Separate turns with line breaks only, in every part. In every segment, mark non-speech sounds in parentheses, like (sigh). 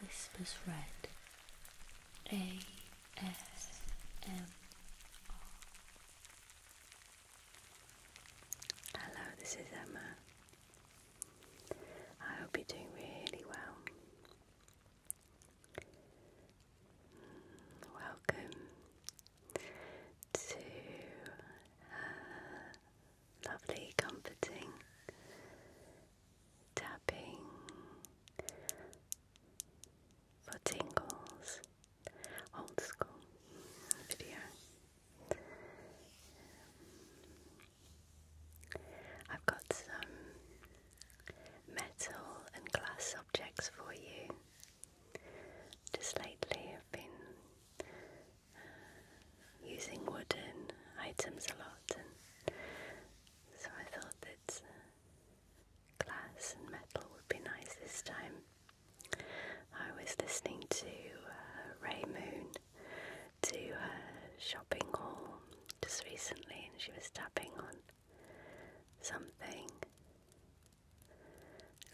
Whispers Red A S M. Hello, this is Emma. I hope you're doing really well. Mm, welcome to lovely, comforting tapping for tingles, old school video. I've got some metal and glass objects for you. Just lately, I've been using wooden items a lot, and so I thought that glass and metal would be nice this time. I was listening to uh, Ray Moon to her shopping haul just recently, and she was tapping on something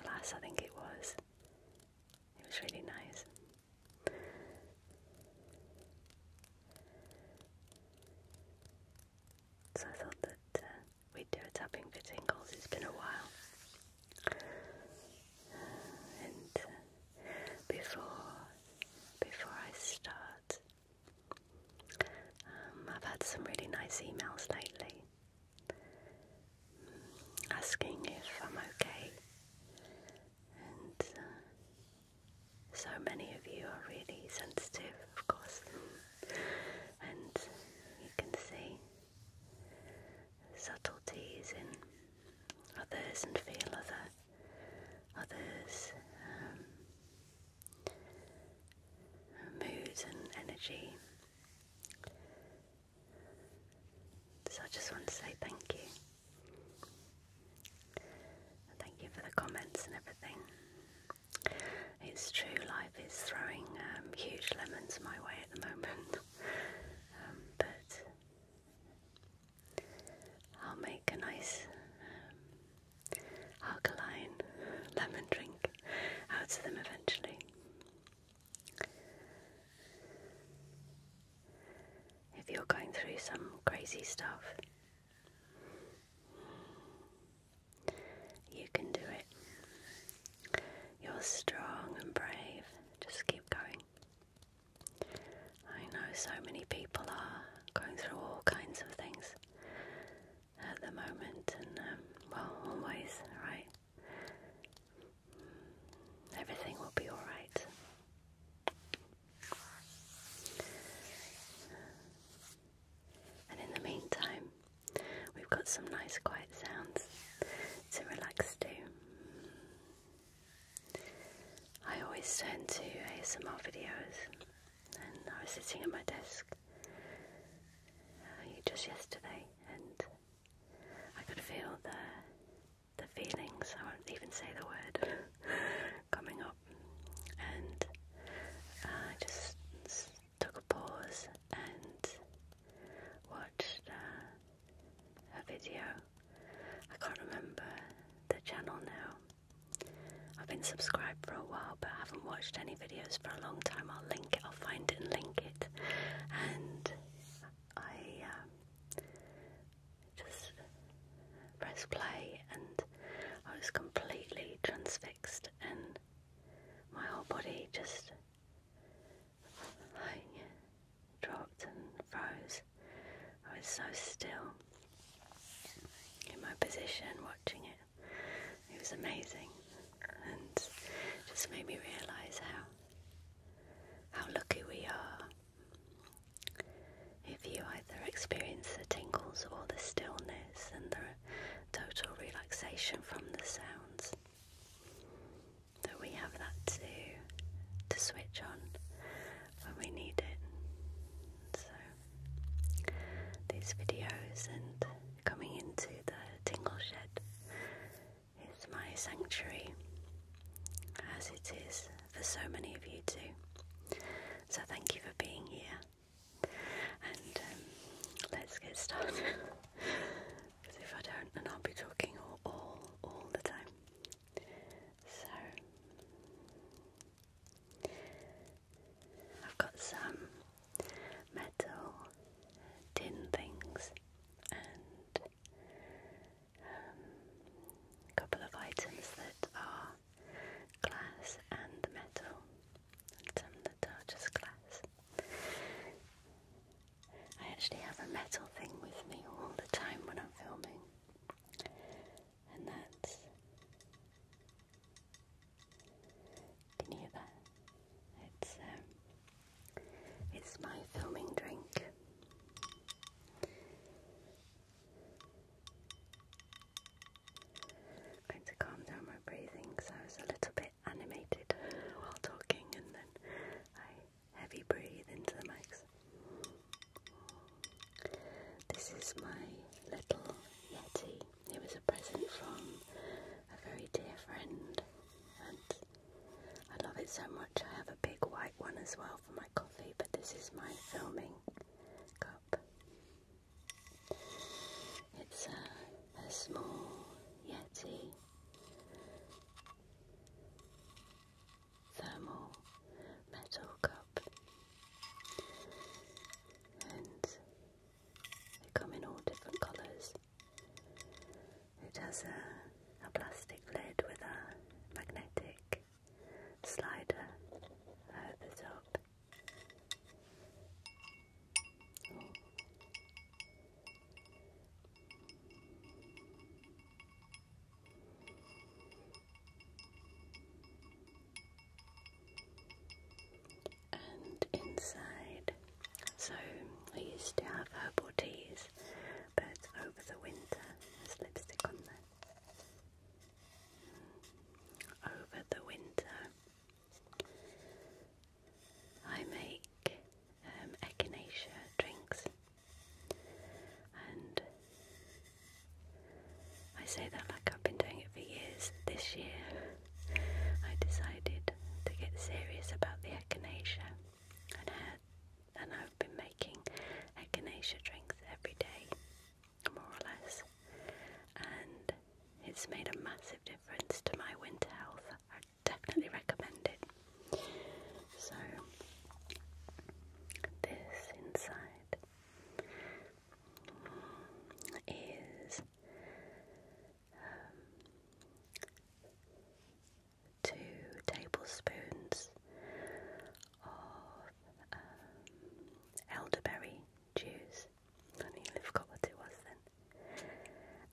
glass, I think it was. It was really nice. So I thought that uh, we do a tapping for tingles. It's been a while. and uh, before before I start, um, I've had some really nice emails lately asking if I'm okay, and uh, so many of you are really sensitive, of course, and you can see subtleties in others and feel other others um, moods and energy. So I just want to say thank you. thank you for the comments and everything. It's true, life is throwing um, huge lemons my way at the moment. (laughs) Um, but I'll make a nice um, alkaline (laughs) lemon drink out of them eventually. If you're going through some crazy stuff, you can do it. You're strong and brave. Just keep going. I know so many people are going through all kinds of things at the moment, and um, well, always, right? Everything will be alright. And in the meantime, we've got some nice quiet sounds to relax to. I always turn to ASMR videos, and I was sitting at my desk uh, just yesterday, and I could feel the the feelings, I won't even say the word, (laughs) coming up. And I just took a pause and watched uh, a video. I can't remember the channel now. I've been subscribed for a while but I haven't watched any videos for a long time. I'll link it, I'll find it and link it. And I um, just press play, and I was completely transfixed, and my whole body just like dropped and froze. I was so still in my position watching it. It was amazing and just made me realise how how lucky we are. If you either experience the tingles or the stillness and the total relaxation from the sounds, that we have that to, to switch on when we need it. So, these videos and coming into the tingle shed it's my sanctuary, as it is for so many of you too. So thank you for being here. And um, let's get started. Because (laughs) if I don't, then I'll be talking all, all, all the time. So, I've got some metal tin things and um, a couple of items that are glass and metal, and some glass. I actually have a metal thing with me all the time when I'm filming, and that's. Can you It's um, it's my filming drink. i to calm down my breathing because I was a little bit animated while talking and then I heavy breathe into the mics. This is my little Yeti. It was a present from a very dear friend I love it so much. I have a big white one as well for my coffee, but this is my filming cup. It's a, a small Yeti thermal metal cup, and they come in all different colours. It has a, plastic lid with a magnetic slider over the top. And inside so I used to have herbal teas, but over the winter, there's lipstick on there. Over the winter, I make um, echinacea drinks, and I say that like I've been doing it for years. This year, I decided to get serious about the echinacea and I've been making echinacea drinks every day, more or less, and it's made a massive difference to my winter health. I definitely recommend it. So this inside is um, two tablespoons of um, elderberry juice. I nearly forgot what it was then.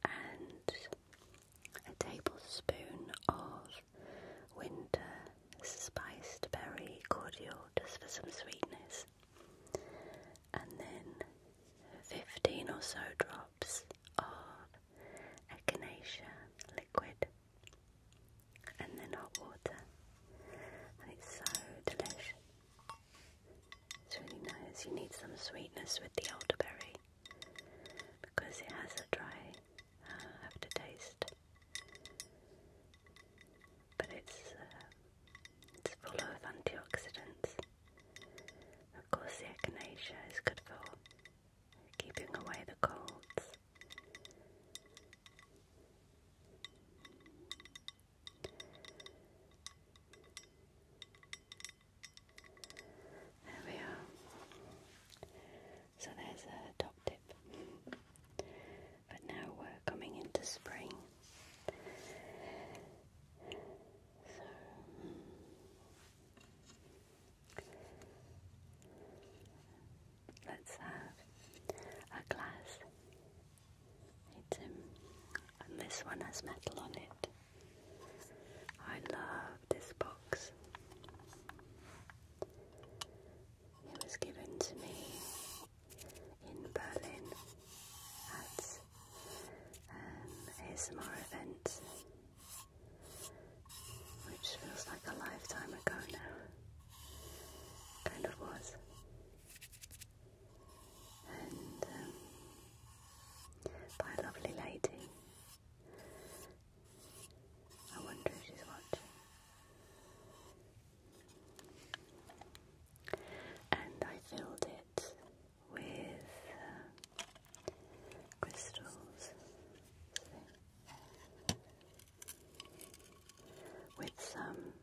And a tablespoon of winter spiced berry cordial just for some sweetness. And then 15 or so drops of echinacea liquid, and then hot water, and it's so delicious. It's really nice. You need some sweetness with the elderberry because it has a dry uh, aftertaste, but it's uh, it's full of antioxidants. Of course, the echinacea is good for keeping away the colds. There we are. So there's a top tip. But now we're coming into spring let's have a glass. It's, and this one has metal on it. I love this box. It was given to me in Berlin at an um, ASMR event which feels like a lifetime ago now. Kind of was. And um, by a lovely lady. I wonder if she's watching. And I filled it with uh, crystals, with some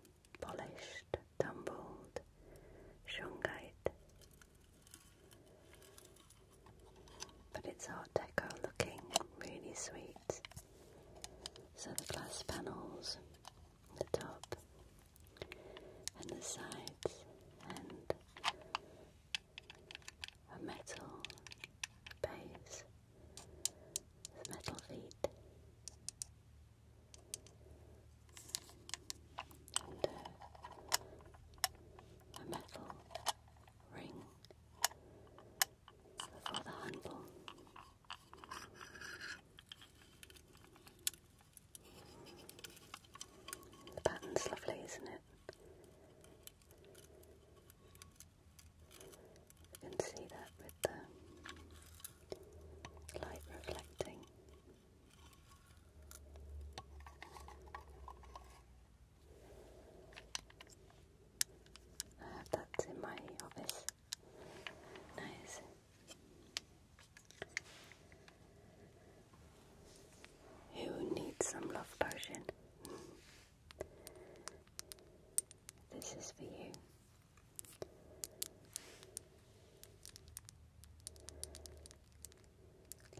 polished, tumbled shungite. But it's Art Deco looking really sweet. So the glass panels, the top and the sides, and a metal base with metal feet and uh, a metal ring for the handle. The pattern's lovely, isn't it? You can see that with the light reflecting. I in my office. Nice. Who needs some love potion? this is for you.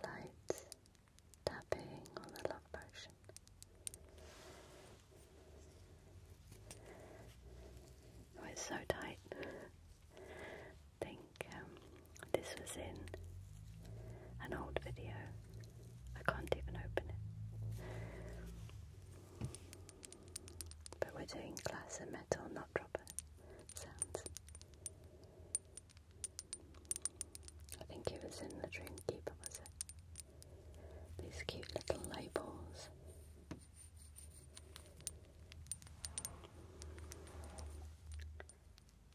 Light tapping on the love potion. Oh, it's so tight think um, this was in an old video. I can't even open it. But we're doing glass and metal, not dropper sounds. I think it was in the Dreamkeeper, was it? These cute little labels.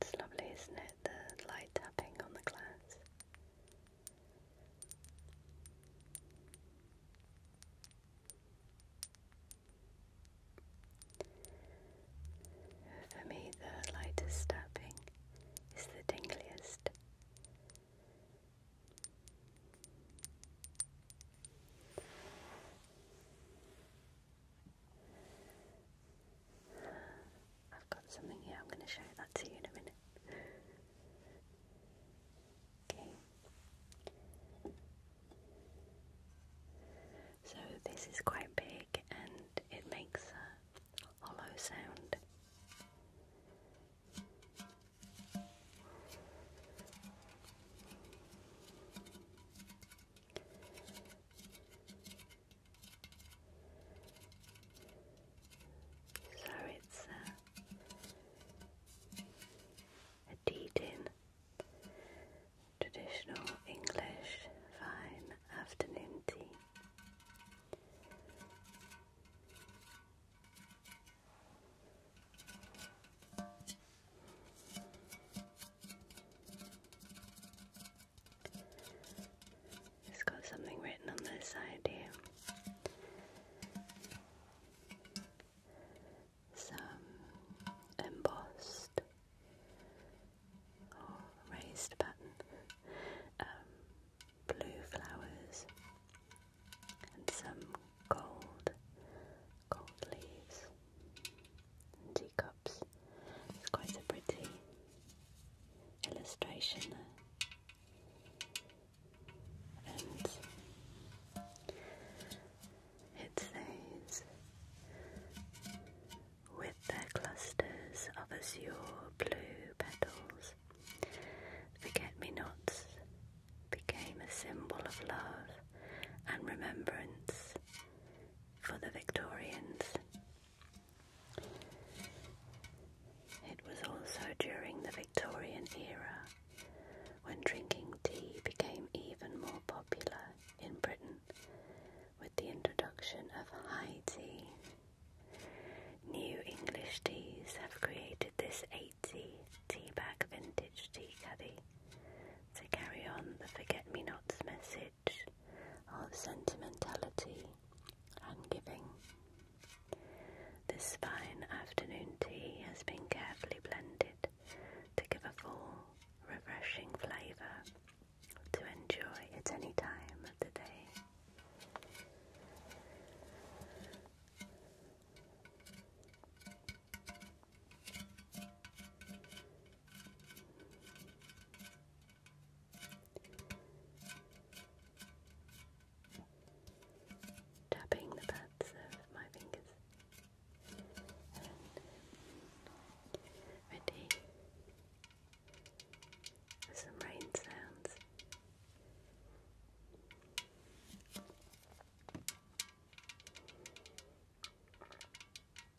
It's lovely, isn't it? The light tapping on the glass. For me, the lightest tapping is the dingliest. I've got something here, I'm going to show that to you in a minute. Okay. So this is quite big and it makes a hollow sound. So it's uh, a deed in traditional English fine afternoon tea. It's got something written on this side here. Some embossed or raised pattern, um, blue flowers, and some gold, gold leaves, it's quite a pretty illustration there. And it says, with their clusters of azure blue petals, forget-me-nots became a symbol of love and remembrance for the Victorians. It was also during the Victorian era when drinking tea became even more popular in Britain with the introduction of high tea. New English teas have created this 80 bag vintage tea caddy to carry on the forget-me-nots message of sentimentality and giving. This fine afternoon tea has been carefully blended to give a full, refreshing flavour to enjoy at any time of the day. Tapping the pads of my fingers ready some rain sounds.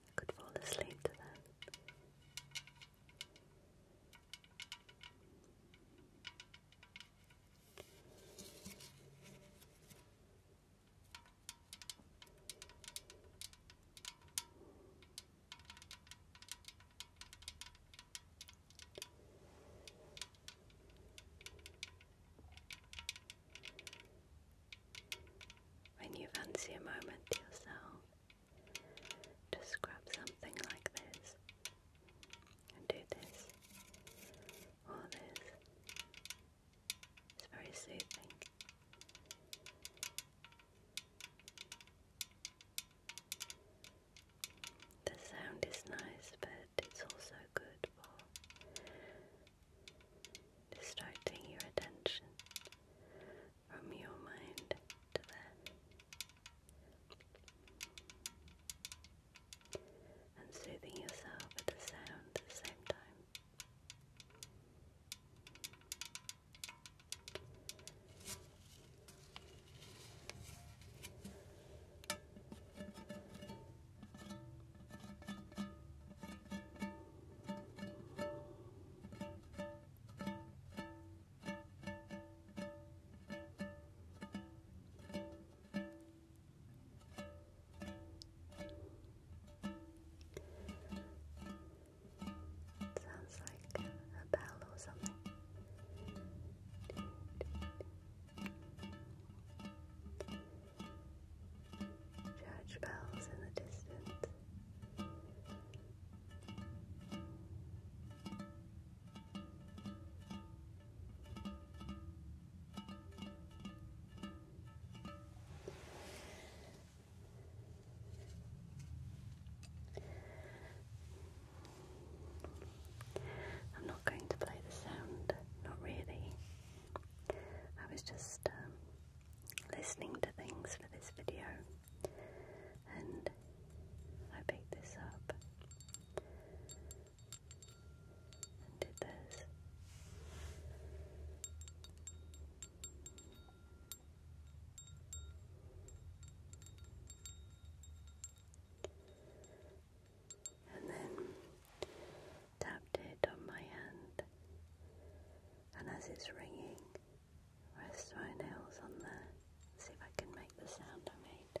I could fall asleep to that. When you fancy a moment to yourself, just grab something like this and do this. All this is very soothing. The sound is nice, but it's also good for distracting your attention from your mind to that and soothing yourself with the sound at the same time. It sounds like a bell or something. Church bells in the distance. I'm not going to play the sound, not really. I was just um, listening to things for this video and I picked this up and did this. And then tapped it on my hand, and as it's ringing, rest my nails on there. See if I can make the sound I made.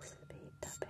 Speed tapping.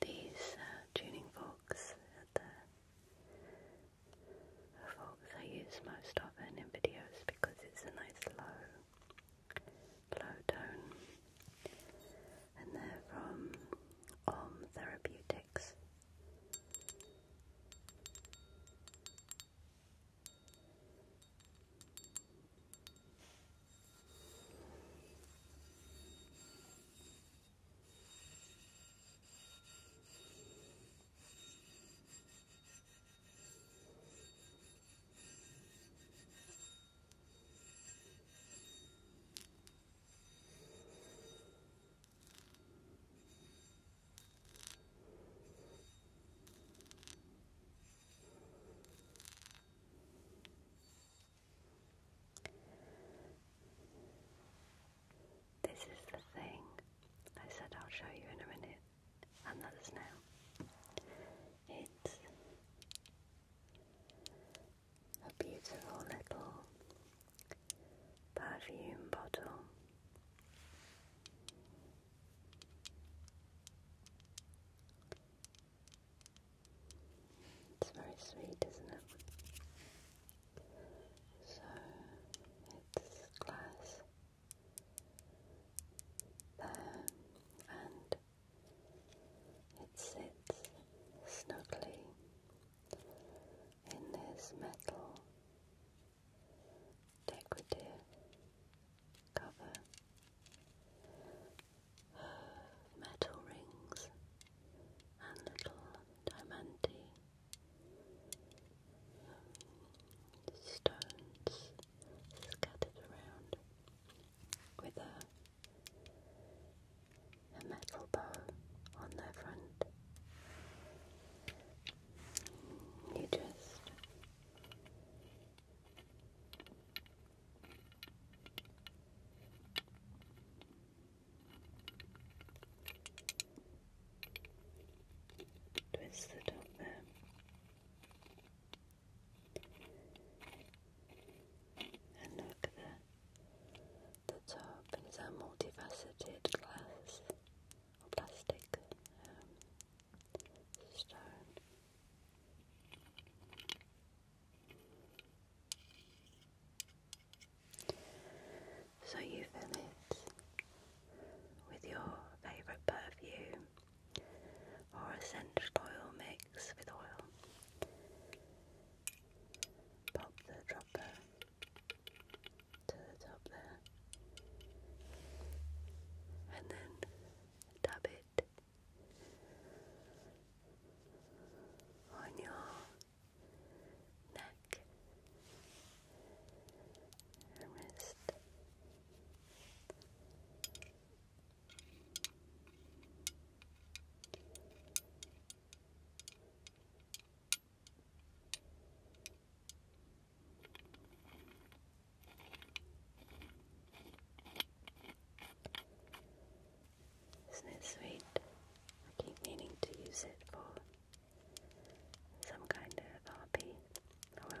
These uh, tuning forks at the forks I use most often in videos because it's a nice low, low tone. And they're from Om Therapeutics. This is the thing I said I'll show you in a minute and that is now. It's a beautiful little perfume bottle. It's very sweet, isn't it? So it's glass there, and it sits snugly in this metal decorative cover. Metal rings and little diamante stones scattered around with a, a metal bow on their front. You just Twist the top there. And look at the, the top, and a multifaceted glass plastic um, stone. So you fill it with your favourite perfume or a essential oil mix with oil. Pop the dropper to the top there and then dab it on your neck isn't it sweet? I keep meaning to use it for some kind of hobby. Uh, oh well.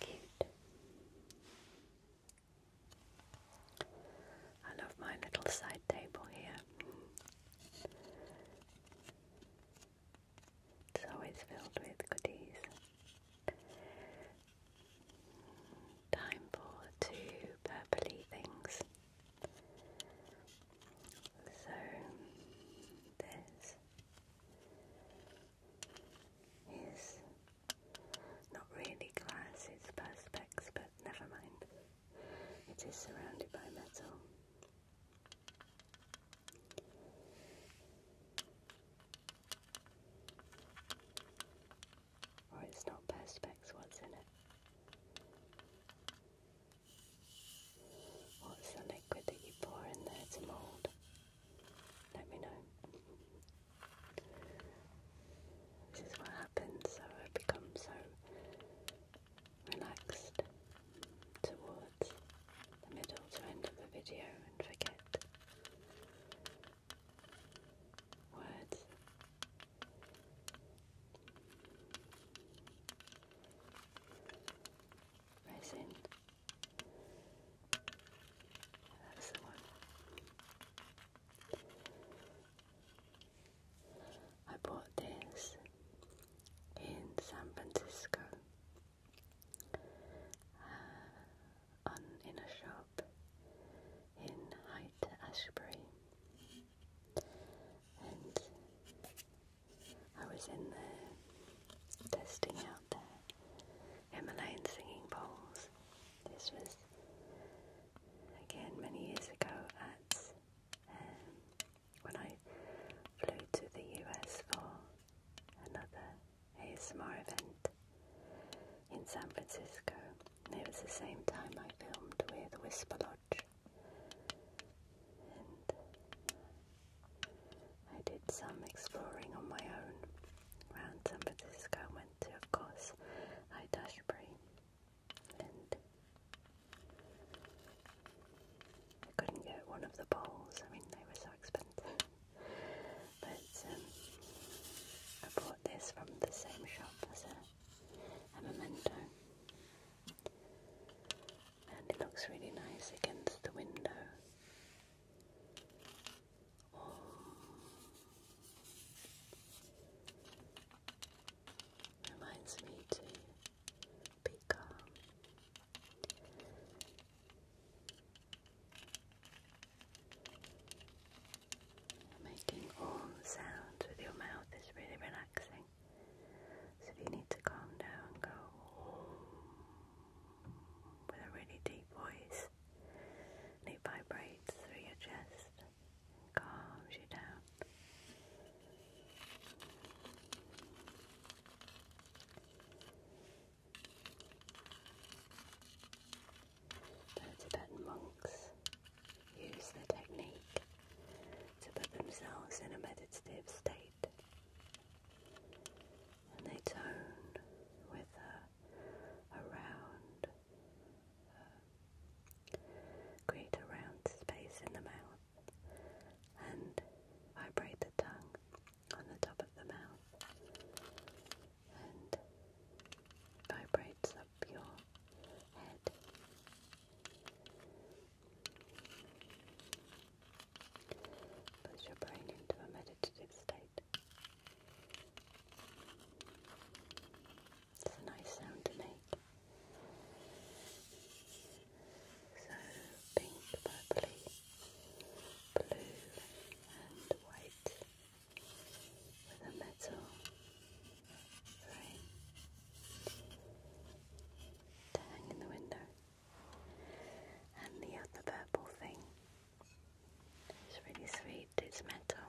Cute. I love my little side table here. It's always filled with goodies. Time for two purpley things. So this is not really glass, it's perspex, but never mind. It is surrounded by metal. Or oh, it's not perspex, what's in it? What's oh, the liquid that you pour in there to mould? Let me know. This is what happens, so I become so relaxed towards the middle to end of the video and forget what? Resin. That's the one. I bought this in San Francisco (sighs) in a shop in Hyde Ashbury, and I was in there testing out the Himalayan singing bowls. This was again many years ago at um, when I flew to the US for another ASMR event in San Francisco. And it was the same time I filmed with Whisper Lodge. And I did some exploring on my own around San Francisco. I went to, of course, Haight-Ashbury. And I couldn't get one of the balls. I mean, they were so expensive. But um, I bought this from the same shop as a, memento. And it looks really nice against the window. Reminds me to be Making all the sounds with your mouth is really relaxing. So if you need to calm down, go with a really deep voice. And it vibrates through your chest and calms you down. Tibetan monks use the technique to put themselves in a meditative state and they tone with a, a round, uh, create a round space in the mouth and vibrate the tongue on the top of the mouth and vibrates up your head. Puts your brain into a meditative state. It's a nice sound to make. So pink, purpley, blue and white with a metal frame to hang in the window. And the other purple thing is really sweet, it's metal.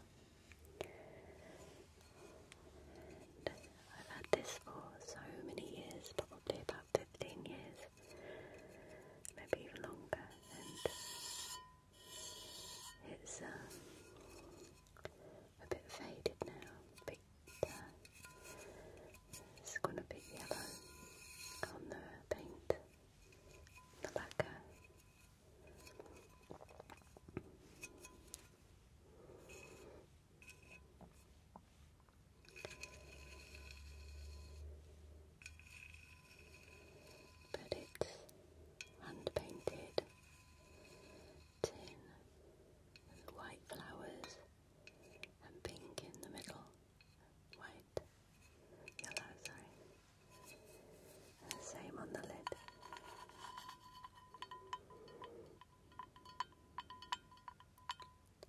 I've had this for so many years, probably about 15 years maybe even longer, and it's um, a bit faded now, a bit, uh, it yellow on the paint, the lacquer. But it's hand painted tin white flowers and pink in the middle. White, yellow, sorry. same on the lid.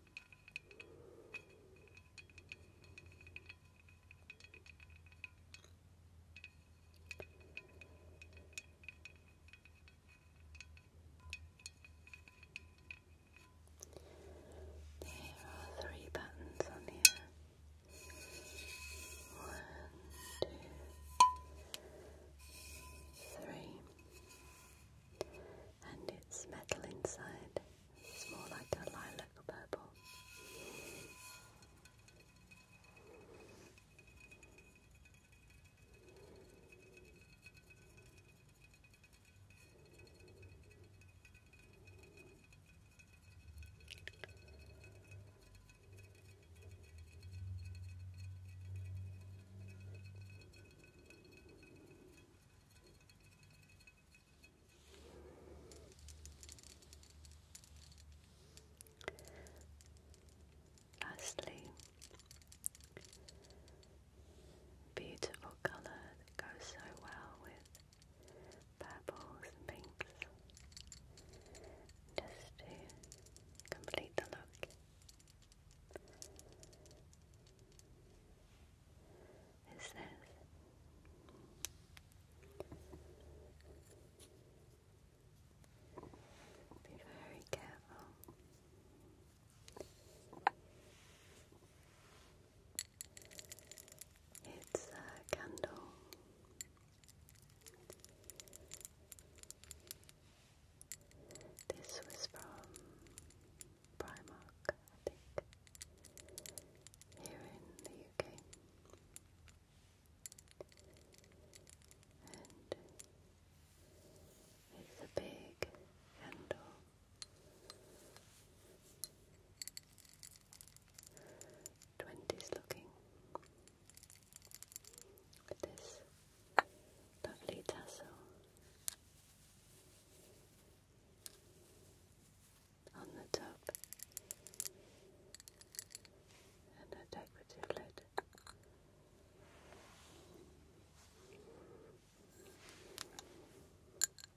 There are three buttons on here. One, two, three. And it's metal inside. It's more like a lilac purple. Lastly, beautiful colour that goes so well with pinks, just to complete the look is this. Be very careful. It's a candle. This was from Primark, I think, here in the UK. And it's a big handle. Twenties looking. With this lovely tassel on the top and decorative lid.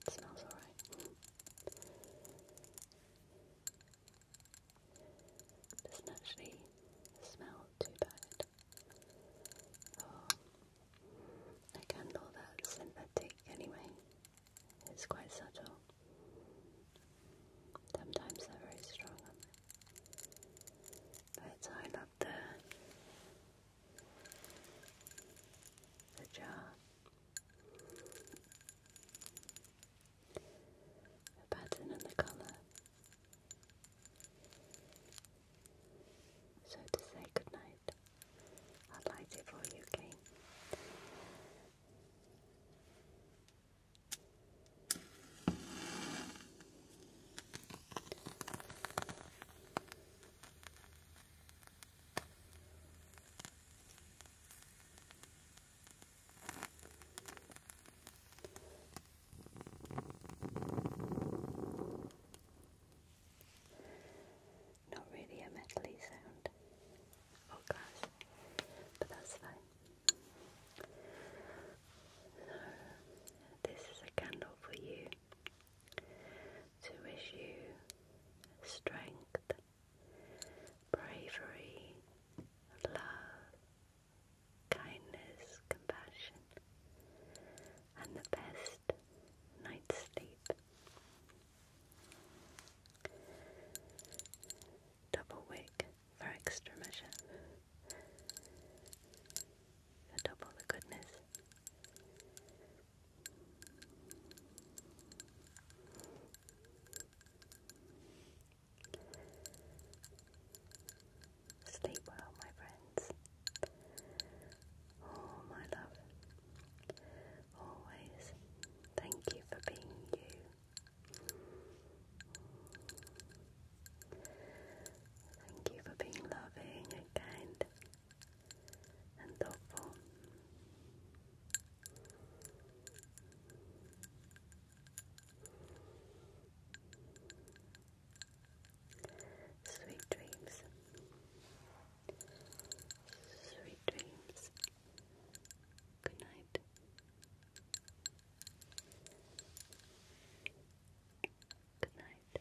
smells alright. Doesn't actually smell too bad. Oh. I can that synthetic anyway. It's quite subtle. Sometimes very strong on them. But I love the jar. The pattern and the colour. So to say goodnight i will like it for you, Kane. Not really a metally sound or glass, but that's fine. So, this is a candle for you to wish you strength, bravery, love, kindness, compassion, and the best night's sleep. Double wick for extra measure. For double the goodness. Sleep well, my friends. Oh, my love, always thank you for being you. Thank you for being loving and kind and thoughtful. Sweet dreams. Sweet dreams. Good night. Good night. Good night. Good night.